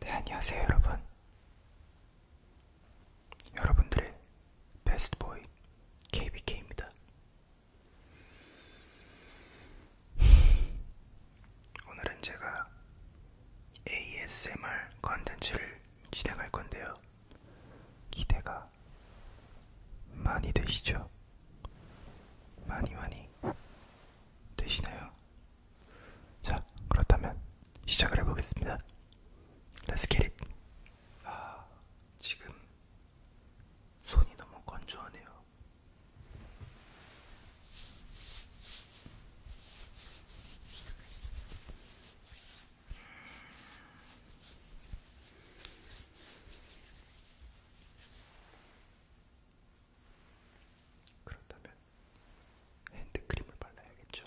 네, 안녕하세요, 여러분. 여러분들의 베스트보이 KBK입니다. 오늘은 제가 ASMR 컨텐츠를 진행할 건데요. 기대가 많이 되시죠? 많이 많이 되시나요? 자, 그렇다면 시작을 해보겠습니다. Let's get it! 아, 지금 손이 너무 건조하네요. 그렇다면 핸드크림을 발라야겠죠.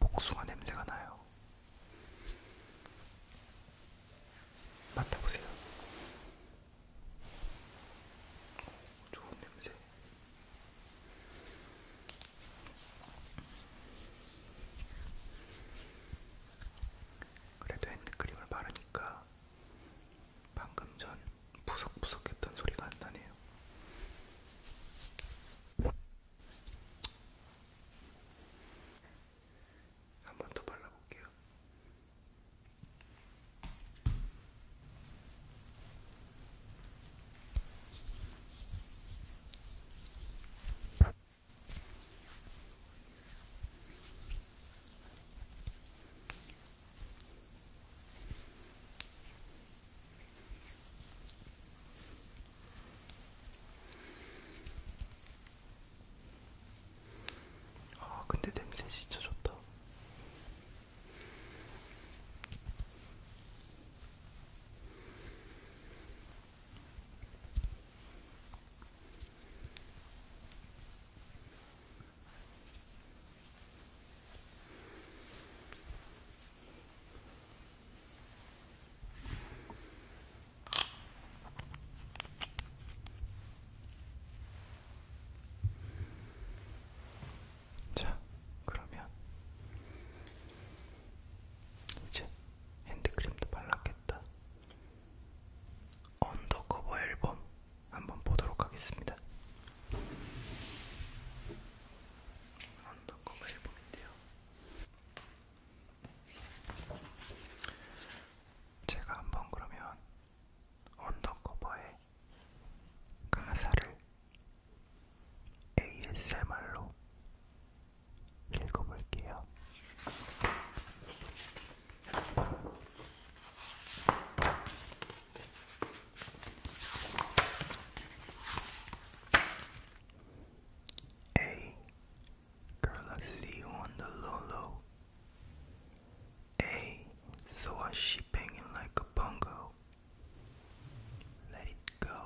복숭아 냄새가 나요. 맡아보세요. 좋은 냄새. 그래도 핸드크림을 바르니까 방금 전 부석부석했던 소리가 안 나네요. 거예요. 한번더 발라볼게요. 아, 근데 냄새 진짜 좋다. 자, 그러면 이제 핸드크림도 발랐겠다. 언더커버 앨범 한번 보도록 하겠습니다. 언더커버 앨범인데요. 제가 한번 그러면 언더커버의 가사를 ASMR로 읽어볼게요. Hey, girl, I see you on the low low. Hey, so I she banging like a bongo. Let it go.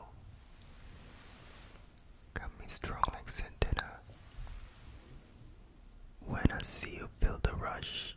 Got me strong like Santana. When I see you feel the rush,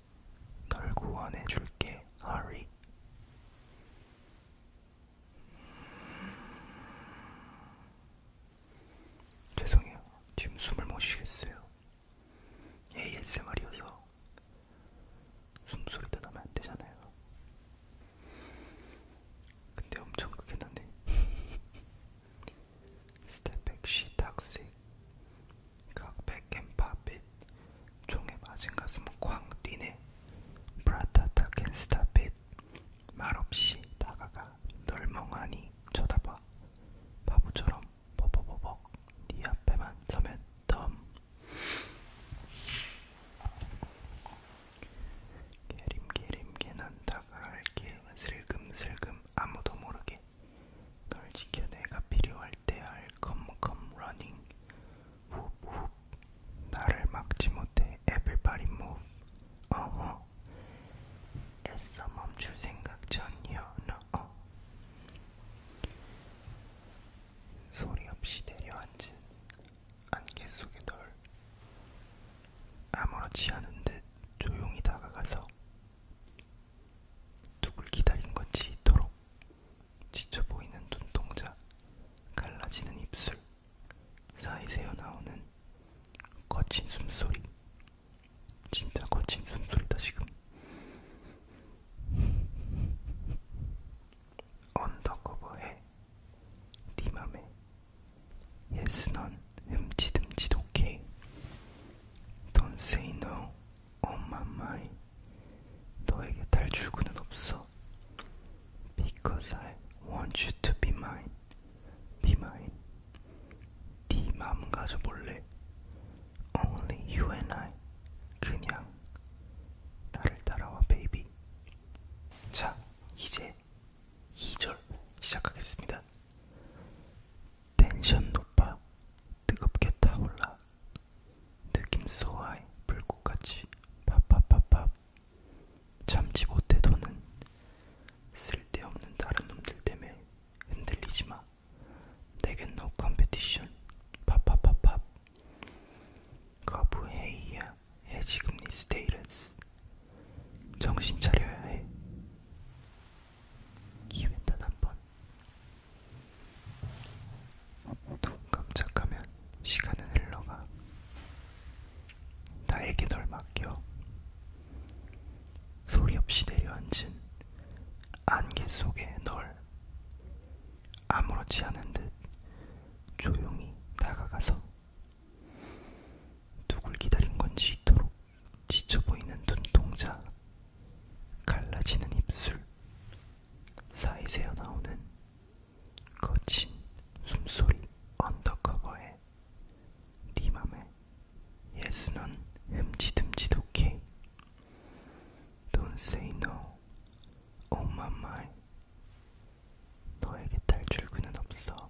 널 구원해줄게, 하리. 죄송해요. 지금 숨을 못 쉬겠어요. ASMR이어서 숨소리도 나면 안 되잖아요. 근데 엄청 크게 나네. Step back, she talks. 각 그 백앤팝빛 종의 맞은 가슴 쾅 뛰네 브라타타 캔스타빛 말없이 다가가 널 멍하니 쳐다봐 바보처럼 버벅버벅 네 앞에만 서면 덤 게림게림 게난 다가갈게 슬금슬금 아무도 모르게 널 지켜 내가 필요할 때할 컴컴 러닝 훅훅 나를 막지 못해 everybody move 어허 애써 멈출 생각 전혀 너어 소리 없이 내려앉은 안개 속의 널 아무렇지 않은 듯 조용히 다가가서 누굴 기다린 건지 이토록 지쳐 보이는 눈동자, 갈라지는 입술, 사이 새어 나오는 거친 숨소리. 진짜 거친 숨소리다 지금. 언더커버해 네 맘에 예스 넌 흠칫흠칫 오케이 Don't say no 엄마마이 너에게 탈출구는 없어 Because I want you to be mine Be mine 네 마음 가져볼래 Only you and I 그냥 나를 따라와 베이비 자 이제 2절 시작하겠습니다 텐션 높아 뜨겁게 타올라 느낌 쏘아이 불꽃같이 팝팝팝팝 참지 못해 도는 쓸데없는 다른 놈들 때문에 흔들리지마 내겐 노 컴페티션 팝팝팝팝 거부해이야 해지금리 네 스테이러스 정신 차려야 해 입에다 한번 눈 깜짝하면 시간은 흘러가 나에게 널 맡겨 소리 없이 내려앉은 안개 속에 널 아무렇지 않은 듯 조용히 다가가서 누굴 기다린 건지 이토록 지쳐 보이는 눈동자, 갈라지는 입술, 사이 새어 나오는 거친 숨소리 언더커버에 네 맘에 Yes, 넌 흠지듬지도 케이 Don't say no, oh my my 너에게 탈출구는 없어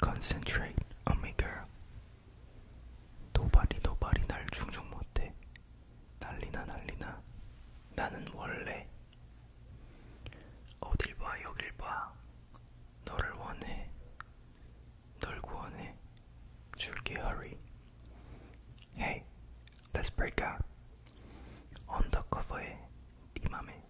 Concentrate on me girl. 도발이 도발이 날 중종 못해. 난리나 난리나. 나는 원래 어딜 봐 여길 봐. 너를 원해. 널 구원해. 줄게 hurry. Hey, let's break up. 언더커버에 네 맘에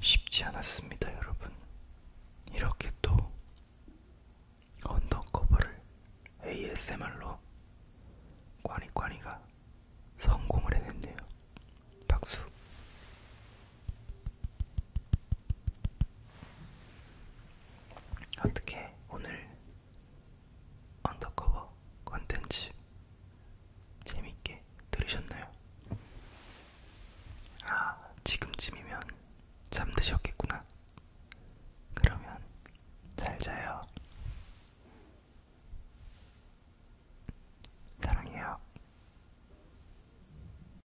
쉽지 않았습니다, 여러분. 이렇게 또 언더커버를 ASMR로 꽈니꽈니가 성공을 해냈네요. 박수. 어떻게 오늘 언더커버 콘텐츠 재밌게 들으셨나요? 아, 지금쯤이면 잠드셨겠구나. 그러면 잘 자요. 사랑해요.